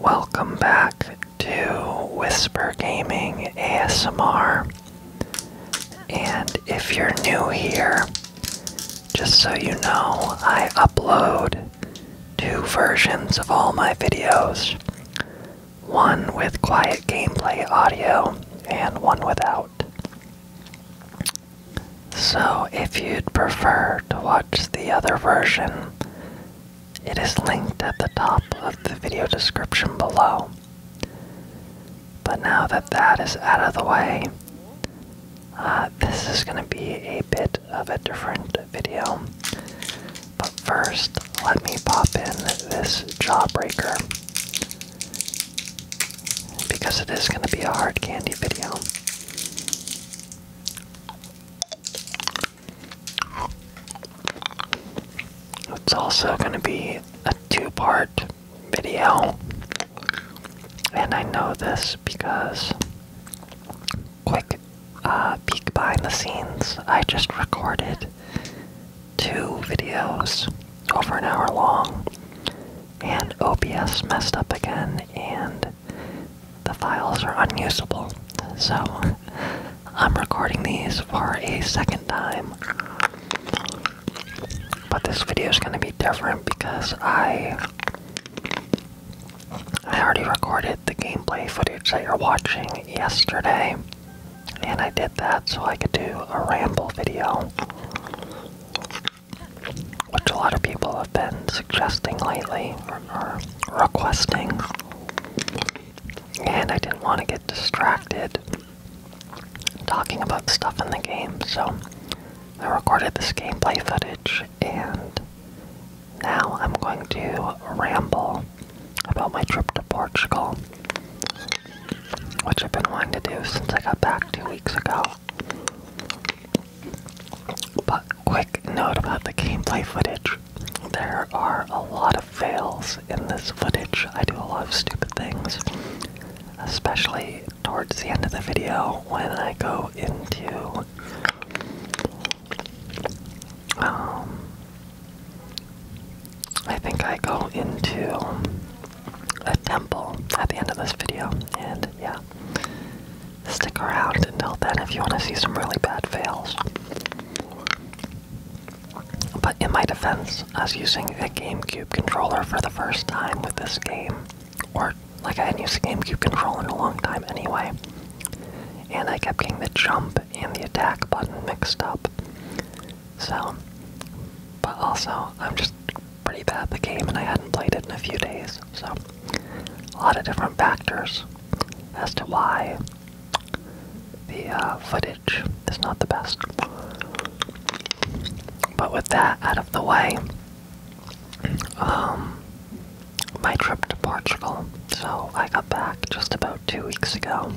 Welcome back to Whisper Gaming ASMR. And if you're new here, just so you know, I upload two versions of all my videos one with quiet gameplay audio and one without. So, if you'd prefer to watch the other version, it is linked at the top of the video description below. But now that that is out of the way, uh, this is going to be a bit of a different video. But first, let me pop in this Jawbreaker because it is going to be a hard candy video. It's also going to be a two part video. And I know this because, quick uh, peek behind the scenes, I just recorded two videos over an hour long, and OBS messed up again, and the files are unusable. So I'm recording these for a second time. But this video is going to be different because I I already recorded the gameplay footage that you're watching yesterday. And I did that so I could do a ramble video which a lot of people have been suggesting lately or, requesting. And I didn't want to get distracted talking about stuff in the game, so I recorded this gameplay footage and now I'm going to ramble about my trip to Portugal, which I've been wanting to do since I got back two weeks ago. But quick note about the gameplay footage. There are a lot of fails in this footage. I do a lot of stupid things, especially towards the end of the video when I go into um I think I go into a temple at the end of this video and yeah stick around until then if you want to see some really bad fails. But in my defense, I was using a GameCube controller for the first time with this game, or like I hadn't used a GameCube controller in a long time anyway, and I kept getting the jump and the attack button mixed up. So, but also, I'm just pretty bad the game, and I hadn't played it in a few days. So, a lot of different factors as to why the uh, footage is not the best. But with that out of the way, um, my trip to Portugal. So I got back just about two weeks ago,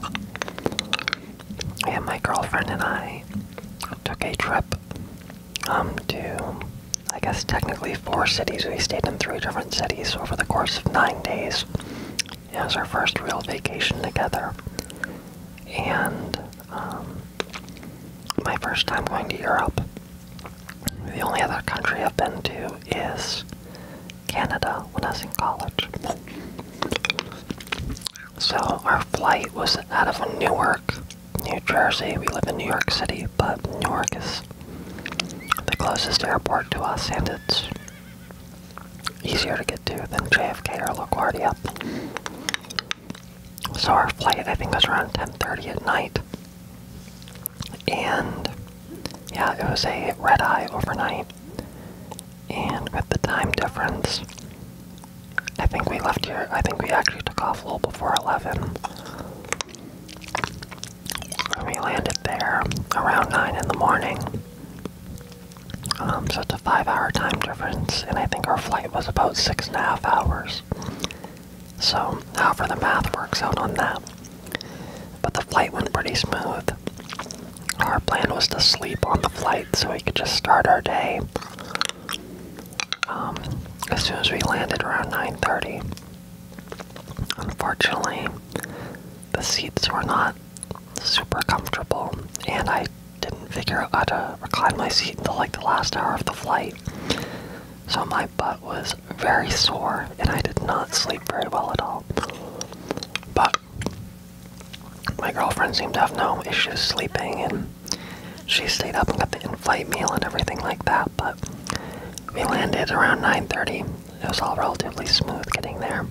and my girlfriend and I took a trip um, to I guess technically four cities. We stayed in three different cities over the course of nine days. It was our first real vacation together. And um, my first time going to Europe. The only other country I've been to is Canada when I was in college. So our flight was out of Newark New Jersey. We live in New York City, but New York is the closest airport to us, and it's easier to get to than JFK or LaGuardia. So our flight, I think, was around 10:30 at night, and yeah, it was a red eye overnight, and with the time difference. I think we left here. I think we actually took off a little before 11 we landed there around 9 in the morning. Um, so it's a five hour time difference, and I think our flight was about six and a half hours. So, however, the math works out on that. But the flight went pretty smooth. Our plan was to sleep on the flight so we could just start our day um, as soon as we landed around 9.30 unfortunately the seats were not super comfortable and i didn't figure out how to recline my seat until like the last hour of the flight so my butt was very sore and i did not sleep very well at all but my girlfriend seemed to have no issues sleeping and she stayed up and got the in-flight meal and everything like that, but we landed around 9.30. It was all relatively smooth getting there.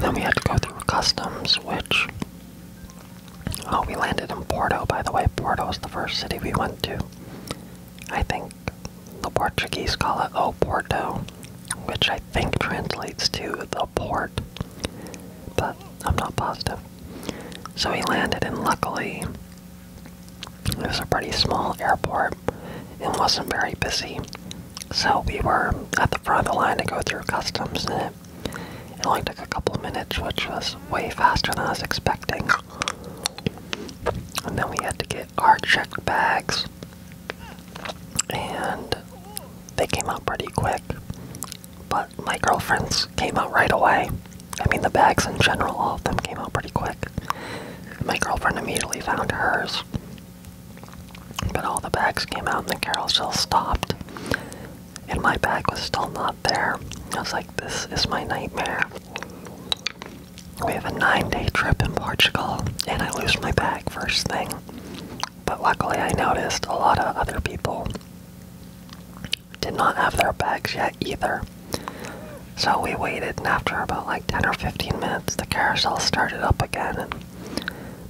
Then we had to go through customs, which... Oh, we landed in Porto, by the way. Porto is the first city we went to. I think the Portuguese call it Oporto, which I think translates to the port, but I'm not positive. So we landed, and luckily, it was a pretty small airport and wasn't very busy. So we were at the front of the line to go through customs, and it, it only took a couple of minutes, which was way faster than I was expecting. And then we had to get our checked bags, and they came out pretty quick. But my girlfriends came out right away. I mean, the bags in general, all of them came out pretty quick. My girlfriend immediately found hers. But all the bags came out and the carousel stopped. And my bag was still not there. I was like, this is my nightmare. We have a nine day trip in Portugal, and I lose my bag first thing. But luckily, I noticed a lot of other people did not have their bags yet either. So we waited, and after about like 10 or 15 minutes, the carousel started up again, and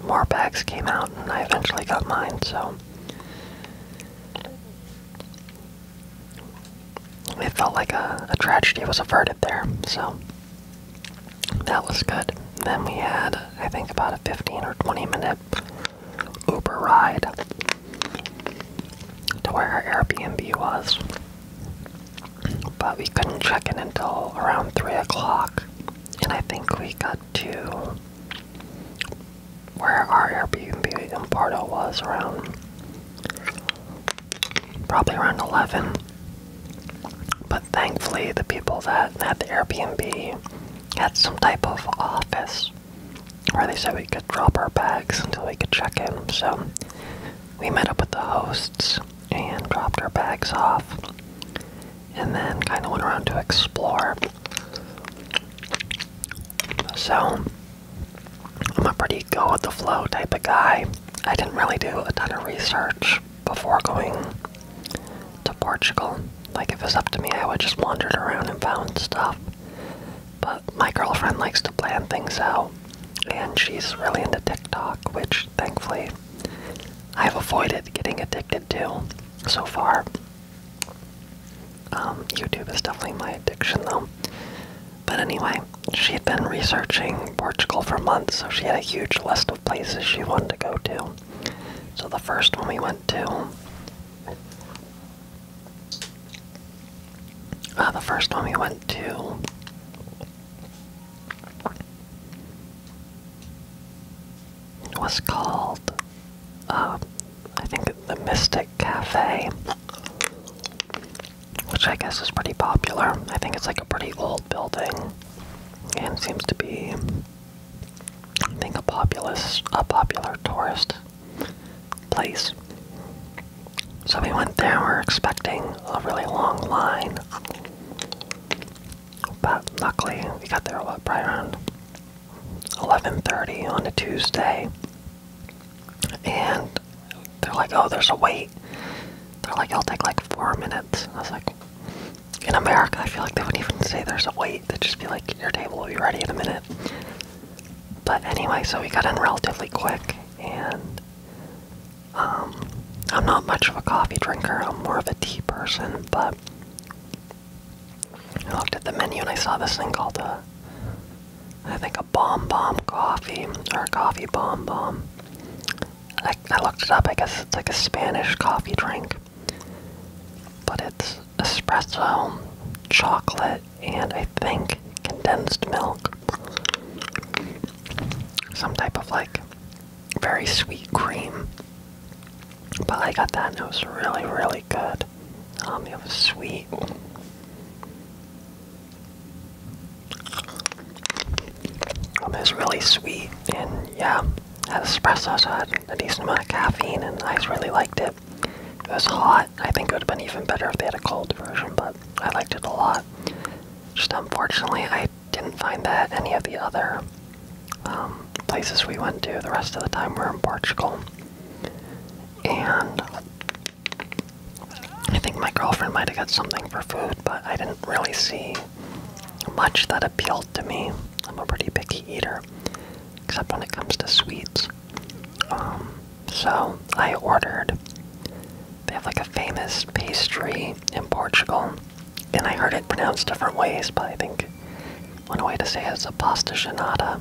more bags came out, and I eventually got mine. So it felt like a, a tragedy was averted there. So that was good. Then we had, I think, about a 15 or 20 minute Uber ride to where our Airbnb was. But we couldn't check in until around 3 o'clock. And I think we got to where our Airbnb in Porto was around probably around 11. But thankfully, the people that had the Airbnb had some type of office or they said we could drop our bags until we could check in. So we met up with the hosts and dropped our bags off, and then kind of went around to explore. So I'm a pretty go with the flow type of guy. I didn't really do a ton of research before going to Portugal. Like, if it was up to me, I would just wandered around and found stuff. But my girlfriend likes to plan things out, and she's really into TikTok, which thankfully I've avoided getting addicted to so far. Um, YouTube is definitely my addiction, though. But anyway, she had been researching Portugal for months, so she had a huge list of places she wanted to go to. So the first one we went to uh, the first one we went to. Was called, um, I think, the Mystic Cafe, which I guess is pretty popular. I think it's like a pretty old building and seems to be I think a populous, a popular tourist place. So we went there. We are expecting a really long line, but luckily we got there what, probably around 11:30 on a Tuesday. And they're like, "Oh, there's a wait." They're like, "It'll take like four minutes." I was like, "In America, I feel like they wouldn't even say there's a wait. They'd just be like, your table will be ready in a minute. But anyway, so we got in relatively quick, and um, I'm not much of a coffee drinker. I'm more of a tea person, but I looked at the menu and I saw this thing called a, I think a bomb bomb coffee or a coffee bomb bomb. I looked it up. I guess it's like a Spanish coffee drink. But it's espresso, chocolate, and I think condensed milk. Some type of like very sweet cream. But I got that and it was really, really good. Um, it was sweet. Um, it was really sweet and yeah, had espresso so I a decent amount of caffeine and I really liked it it. If it was hot, I think it would have been even better if they had a cold version, but I liked it a lot. Just unfortunately, I didn't find that any of the other um, places we went to. The rest of the time we were in Portugal. And I think my girlfriend might have got something for food, but I didn't really see much that appealed to me. I'm a pretty picky eater except when it comes to sweets. Um, so I ordered. They have like a famous pastry in Portugal, and I heard it pronounced different ways, but I think one way to say it is a pasta genada.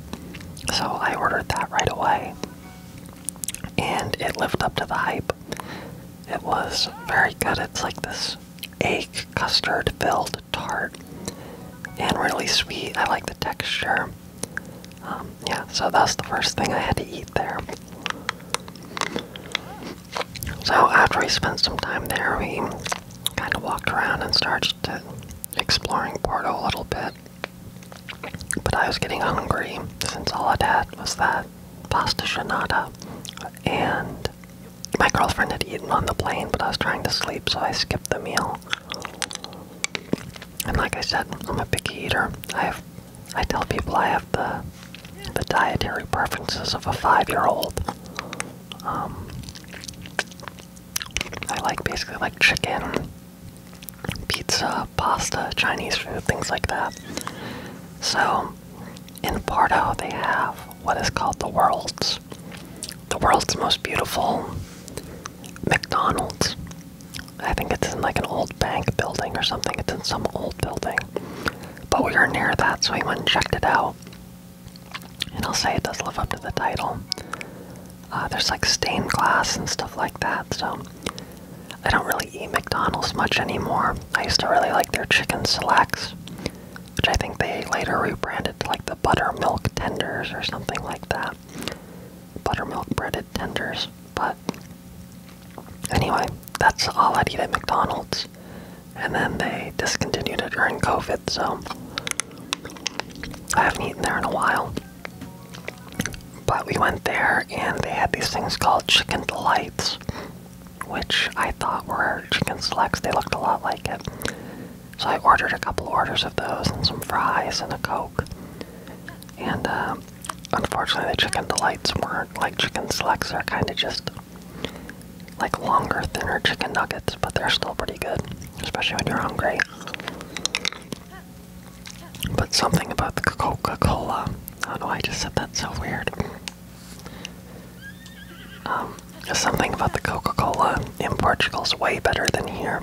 So I ordered that right away, and it lived up to the hype. It was very good. It's like this egg custard filled tart and really sweet. I like the texture. Um, yeah, so that's the first thing I had to eat there. So after we spent some time there, we kind of walked around and started exploring Porto a little bit. But I was getting hungry since all i had was that pasta shanada. And my girlfriend had eaten on the plane, but I was trying to sleep, so I skipped the meal. And like I said, I'm a picky eater. I have, I tell people I have the, the dietary preferences of a five-year-old. Um, I like basically like chicken, pizza, pasta, Chinese food, things like that. So in Porto, they have what is called the world's the world's most beautiful McDonald's. I think it's in like an old bank building or something. It's in some old building. But we were near that, so we went and checked it out. And I'll say it does live up to the title. Uh, there's like stained glass and stuff like that, so I don't really eat McDonald's much anymore. I used to really like their chicken selects, which I think they later rebranded to like the the buttermilk tenders or something like that. Buttermilk breaded tenders. But anyway, that's all I'd eat at McDonald's. And then they discontinued it during COVID, so I haven't eaten there in a while. But we went there and they had these things called chicken delights, which I thought were chicken selects. They looked a lot like it. So I ordered a couple orders of those and some fries and a Coke. And um, unfortunately, the chicken delights weren't like chicken slacks are kind of just like longer, thinner chicken nuggets, but they're still pretty good, especially when you're hungry. But something about the Coca Cola. I don't know, I just said that so weird. Um, Something about the Coca Cola in Portugal is way better than here.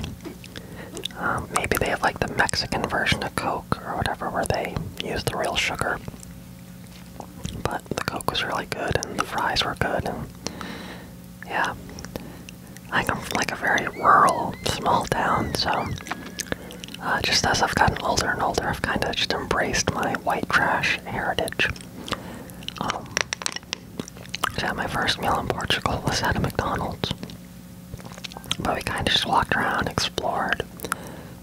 Um, maybe they have like the Mexican version of Coke or whatever where they use the real sugar. But the Coke was really good and the fries were good yeah. I come from like a very rural, small town, so uh, just as I've gotten older and older, I've kind of just embraced my white trash heritage. Um, had my first meal in Portugal was at a McDonald's. But we kind of just walked around, explored,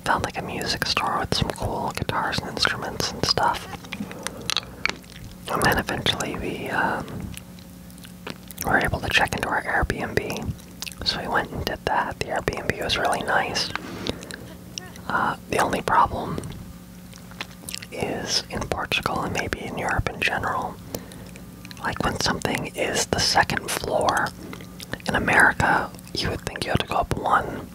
found like a music store with some cool guitars and instruments and stuff. And then eventually we um, were able to check into our Airbnb. So we went and did that. The Airbnb was really nice. Uh, the only problem is in Portugal and maybe in Europe in general. Like when something is the second floor in America, you would think you have to go up one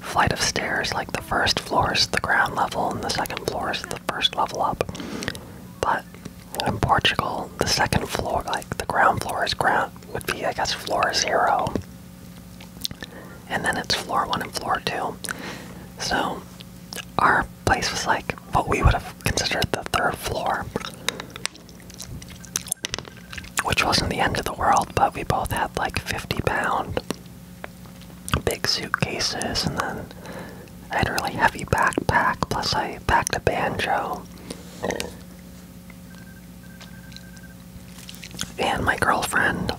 flight of stairs. Like the first floor is the ground level, and the second floor is the first level up. But in Portugal, the second floor, like the ground floor, is ground would be, I guess, floor zero and then it's floor one and floor two. So our place was like what we would have considered the third floor, which wasn't the end of the world, but we both had like 50 pound big suitcases, and then I had a really heavy backpack, plus I packed a banjo. And my girlfriend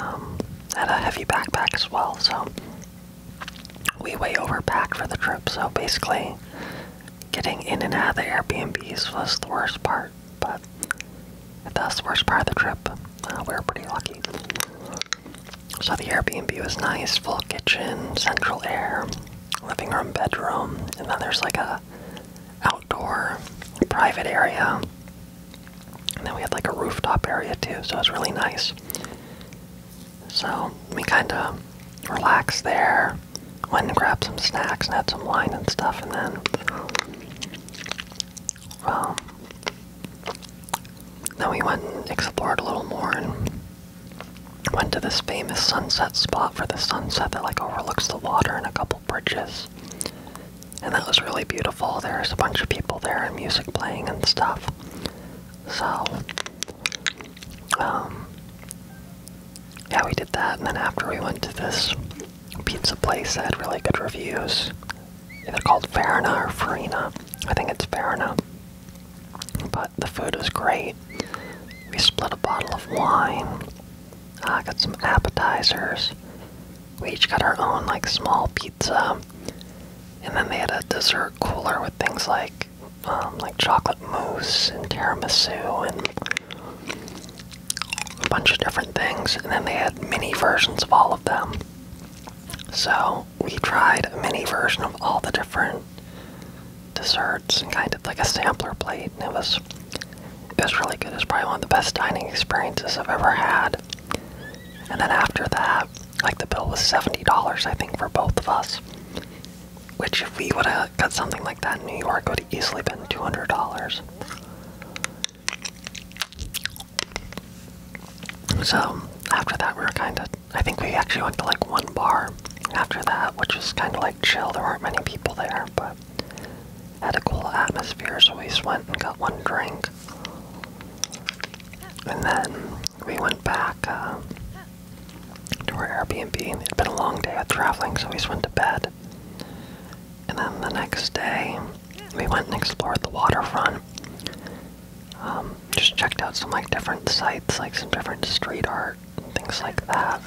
um, had a heavy backpack as well, so we way overpacked for the trip. So basically, getting in and out of the Airbnbs was the worst part, but if that's the worst part of the trip, uh, we were pretty lucky. So the Airbnb was nice, full kitchen, central air, living room, bedroom, and then there's like a outdoor private area and then we had like a rooftop area too, so it was really nice. So we kind of relaxed there, went and grabbed some snacks and had some wine and stuff, and then, um, then we went and explored a little more and went to this famous sunset spot for the sunset that like overlooks the water and a couple bridges and that was really beautiful. There was a bunch of people there and music playing and stuff. So, um, yeah, we did that, and then after we went to this pizza place that had really good reviews. They're called Farina or Farina. I think it's Farina. But the food was great. We split a bottle of wine. I uh, got some appetizers we each got our own like small pizza, and then they had a dessert cooler with things like um, like chocolate mousse and tiramisu and a bunch of different things, and then they had mini versions of all of them. So we tried a mini version of all the different desserts and kind of like a sampler plate, and it was it was really good. It was probably one of the best dining experiences I've ever had. And then after that, like the bill was $70, I think, for both of us. Which, if we would have got something like that in New York, would have easily been $200. So, after that, we were kind of. I think we actually went to like one bar after that, which was kind of like chill. There weren't many people there, but. Had a cool atmosphere, so we just went and got one drink. And then we went back uh, to our Airbnb. And It'd been a long day of traveling, so we just went to bed. And then the next day, we went and explored the waterfront. Um, just checked out some like different sites, like some different street art things like that.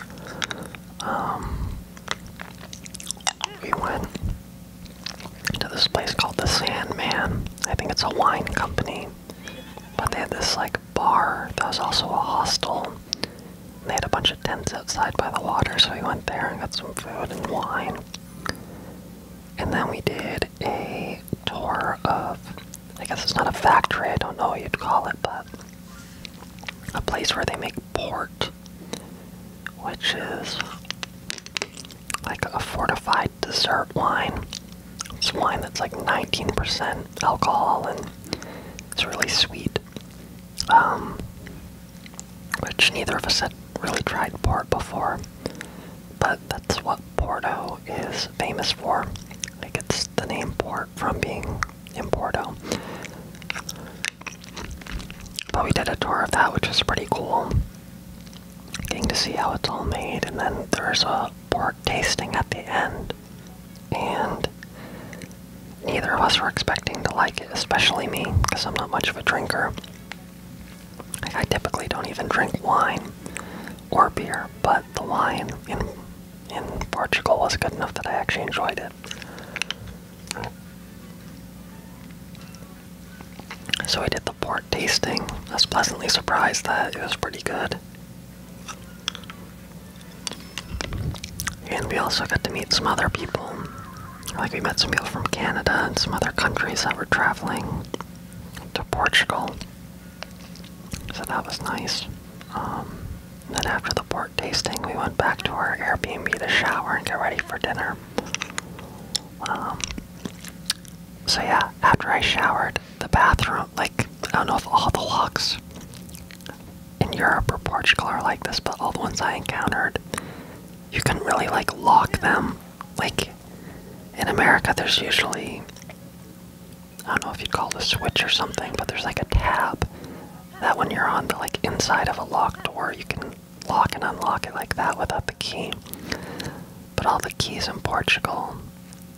Um, we went to this place called the Sandman. I think it's a wine company. But they had this like bar that was also a hostel. they had a bunch of tents outside by the water, so we went there and got some food and wine. And then we did a tour of I guess it's not a factory, I don't know what you'd call it, but a place where they make port, which is like a fortified dessert wine. It's wine that's like 19% alcohol and it's really sweet. Um, which neither of us had really tried port before, but that's what Porto is famous for. Like it's the name port from being in Porto. But we did a tour of that, which was pretty cool. Getting to see how it's all made, and then there's a pork tasting at the end. And neither of us were expecting to like it, especially me, because I'm not much of a drinker. I typically don't even drink wine or beer, but the wine in in Portugal was good enough that I actually enjoyed it. So I did the pork tasting. I was pleasantly surprised that it was pretty good. And we also got to meet some other people. Like we met some people from Canada and some other countries that were traveling to Portugal. So that was nice. Um, then after the pork tasting, we went back to our Airbnb to shower and get ready for dinner. Um, so yeah, after I showered, the bathroom, like, I don't know if all the locks in Europe or Portugal are like this, but all the ones I encountered, you can really, like, lock them. Like, in America, there's usually, I don't know if you'd call it a switch or something, but there's like a tab that when you're on the, like, inside of a locked door, you can lock and unlock it like that without the key. But all the keys in Portugal,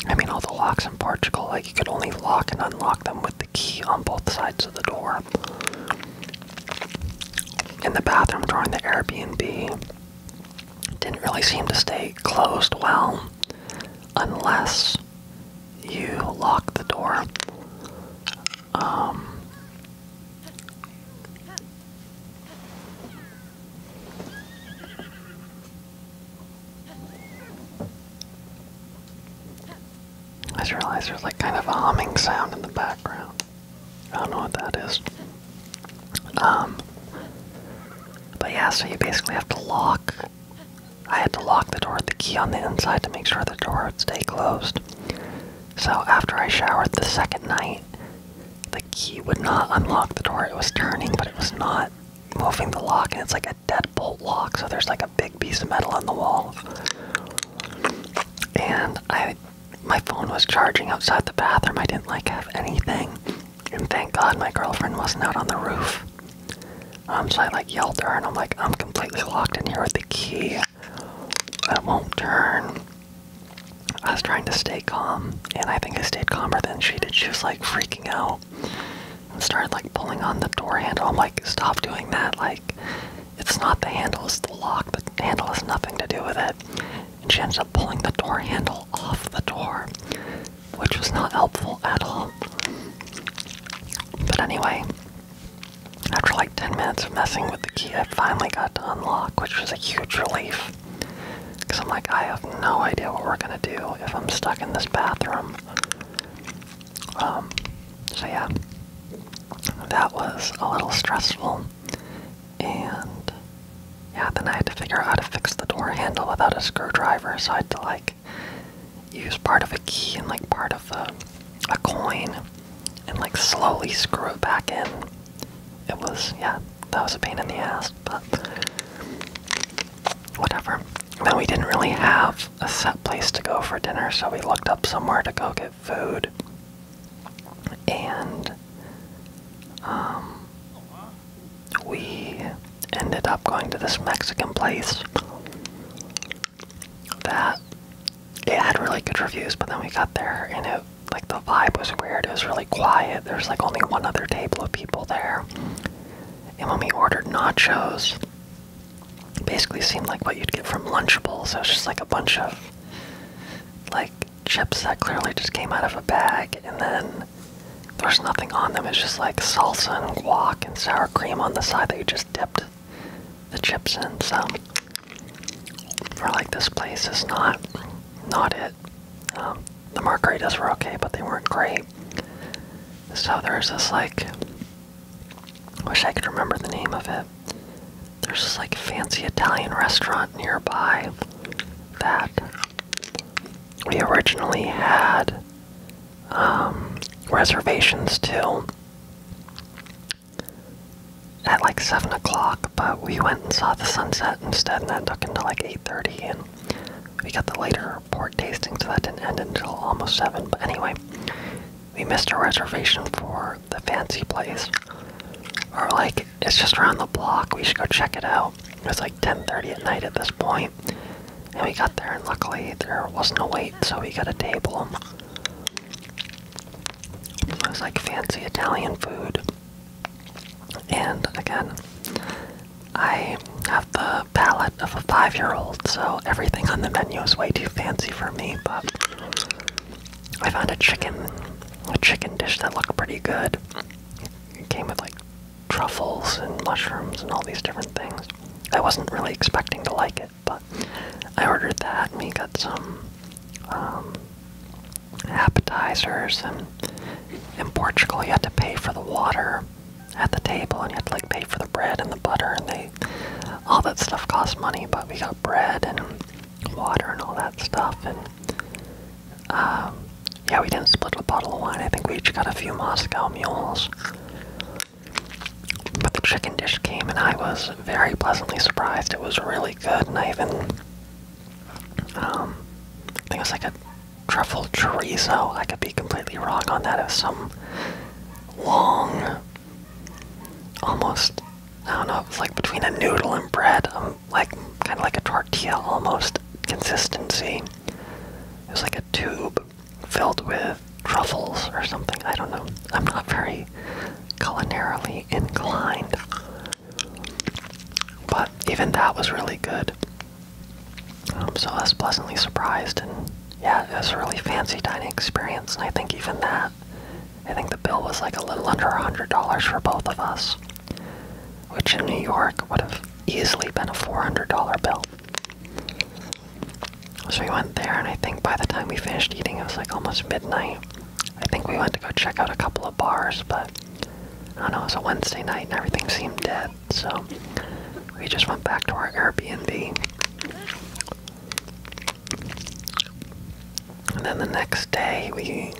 I mean, all the locks in Portugal, like you could only lock and unlock them with the key on both sides of the door. In the bathroom during the Airbnb, didn't really seem to stay closed well unless you lock the door. Um, I just realized there's like kind of a humming sound in the background. I don't know what that is. Um, but yeah, so you basically have to lock. I had to lock the door with the key on the inside to make sure the door would stay closed. So after I showered the second night, the key would not unlock the door. It was turning, but it was not moving the lock, and it's like a deadbolt lock, so there's like a big piece of metal on the wall. And I my phone was charging outside the bathroom. I didn't like have anything. And thank God my girlfriend wasn't out on the roof. Um, so I like yelled at her and I'm like, I'm completely locked in here with the key. I won't turn. I was trying to stay calm, and I think I stayed calmer than she did. She was like freaking out and started like pulling on the door handle. I'm like, stop doing that. Like, it's not the handle, it's the lock. The handle has nothing to do with it. And she ends up pulling the door handle off the door, which was not helpful at all. But anyway, after like 10 minutes of messing with the key, I finally got to unlock, which was a huge relief. Because I'm like, I have no idea what we're going to do if I'm stuck in this bathroom. Um, so yeah, that was a little stressful. And yeah, then I had to figure out how to fix the door handle without a screwdriver, so I had to like use part of a key and like part of a, a coin and like slowly screw it back in. It was, yeah, that was a pain in the ass, but whatever. Then we didn't really have a set place to go for dinner, so we looked up somewhere to go get food. And um, we ended up going to this Mexican place that it had really good reviews, but then we got there and it like the vibe was weird. It was really quiet. There's like only one other table of people there. And when we ordered nachos, it basically seemed like what you'd get from Lunchables. So it was just like a bunch of like chips that clearly just came out of a bag, and then there's nothing on them. It's just like salsa and guac and sour cream on the side that you just dipped the chips and some for like this place is not not it. Um, the margaritas were okay, but they weren't great. So there's this like wish I could remember the name of it. There's this like fancy Italian restaurant nearby that we originally had um, reservations to, at like seven o'clock, but we went and saw the sunset instead, and that took until like eight thirty, and we got the later port tasting, so that didn't end until almost seven. But anyway, we missed a reservation for the fancy place. Or like it's just around the block. We should go check it out. It was like ten thirty at night at this point, and we got there, and luckily there wasn't a wait, so we got a table. It was like fancy Italian food. And again, I have the palate of a five year old, so everything on the menu is way too fancy for me, but I found a chicken a chicken dish that looked pretty good. It came with like truffles and mushrooms and all these different things. I wasn't really expecting to like it. But I ordered that and we got some um, appetizers. And in Portugal, you had to pay for the water at the table and you had to like pay for the bread and the butter and they all that stuff costs money but we got bread and water and all that stuff and um, yeah we didn't split a bottle of wine i think we each got a few moscow mules but the chicken dish came and I was very pleasantly surprised. It was really good and I even, um, I think it was like a truffle chorizo. I could be completely wrong on that. It was some long, almost, I don't know, it was like between a noodle and bread, um, like kind of like a tortilla almost consistency. It was like a tube filled with truffles or something. I don't know. I'm not very culinarily inclined. But even that was really good. I'm um, so I was pleasantly surprised, and yeah, it was a really fancy dining experience. And I think even that, I think the bill was like a little under a hundred dollars for both of us, which in New York would have easily been a four hundred dollar bill. So we went there, and I think by the time we finished eating, it was like almost midnight. I think we went to go check out a couple of bars, but I don't know, it was a Wednesday night and everything seemed dead, so we just went back to our Airbnb. And then the next day, we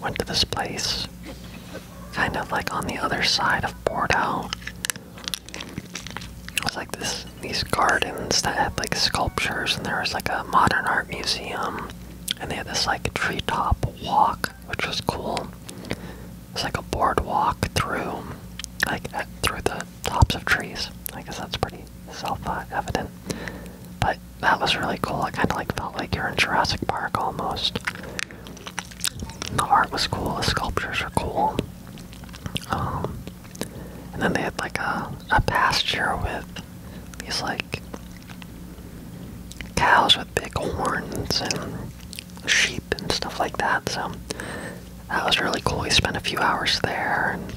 went to this place, kind of like on the other side of Porto these gardens that had like sculptures and there was like a modern art museum and they had this like treetop walk which was cool. It's like a boardwalk through like through the tops of trees. I guess that's pretty self-evident. But that was really cool. I kind of like felt like you're in Jurassic Park almost. The art was cool. The sculptures are cool. Um, and then they had like a, a pasture with these like cows with big horns and sheep and stuff like that. So that was really cool. We spent a few hours there. And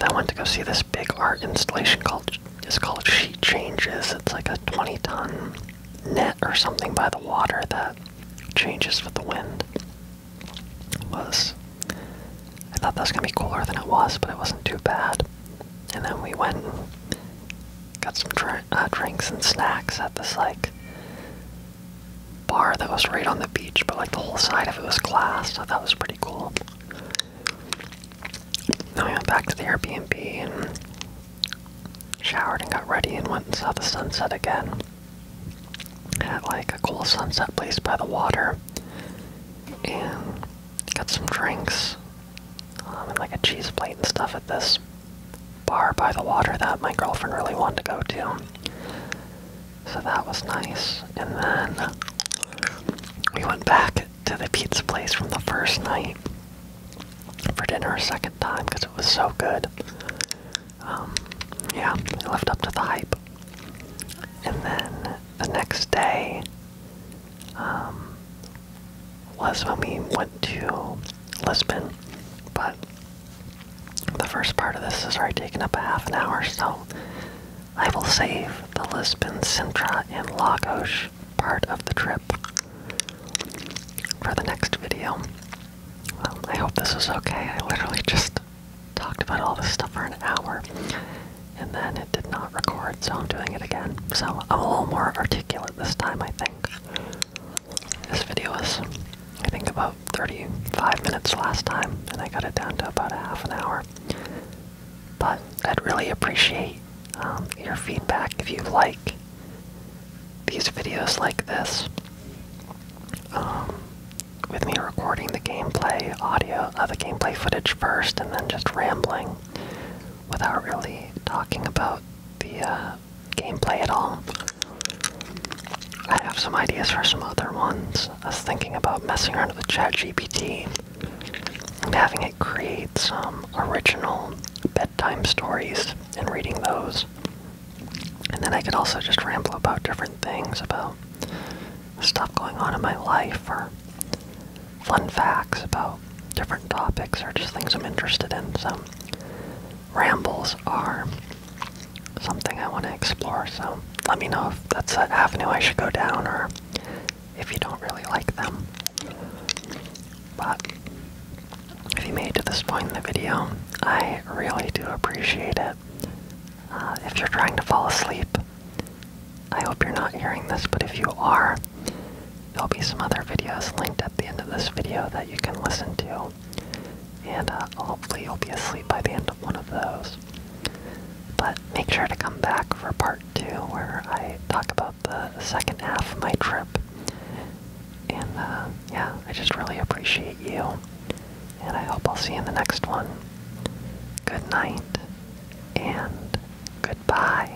then I went to go see this big art installation called it's called Sheet Changes. It's like a 20 ton net or something by the water that changes with the wind was I thought that was gonna be cooler than it was, but it wasn't too bad. And then we went got some uh, drinks and snacks at this like bar that was right on the beach, but like the whole side of it was glass. I thought was pretty cool. Then we went back to the Airbnb and showered and got ready and went and saw the sunset again at like a cool sunset place by the water and got some drinks um, and like a cheese plate and stuff at this bar by the water that my girlfriend really wanted to go to. So that was nice. And then we went back to the pizza place from the first night for dinner a second time because it was so good um, yeah, I lived up to the hype. And then the next day um, was when we went to Lisbon, but the first part of this is already taken up a half an hour, so I will save the Lisbon, Sintra, and Lagos part of the trip for the next video. Um, I hope this is okay. I literally just talked about all this stuff for an hour and then it did not record, so I'm doing it again. So I'm a little more articulate this time, I think. This video was, I think, about 35 minutes last time, and I got it down to about a half an hour. But I'd really appreciate um, your feedback if you like these videos like this. Um, with me recording the gameplay audio, of the gameplay footage first, and then just rambling without really talking about the uh, gameplay at all. I have some ideas for some other ones. I was thinking about messing around with ChatGPT and having it create some original bedtime stories and reading those. And then I could also just ramble about different things about stuff going on in my life or fun facts about different topics or just things I'm interested in. So rambles are something I want to explore. So let me know if that's an avenue I should go down or if you don't really like them. But if you made to this point in the video, I really do appreciate it. Uh, if you're trying to fall asleep, I hope you're not hearing this, but if you are, there'll be some other videos linked at the end of this video that you can listen to. And uh, hopefully you'll be asleep by the end of one of those. But make sure to come back for part two where I talk about the second half of my trip. And uh, yeah, I just really appreciate you and I hope I'll see you in the next one. Good night and goodbye.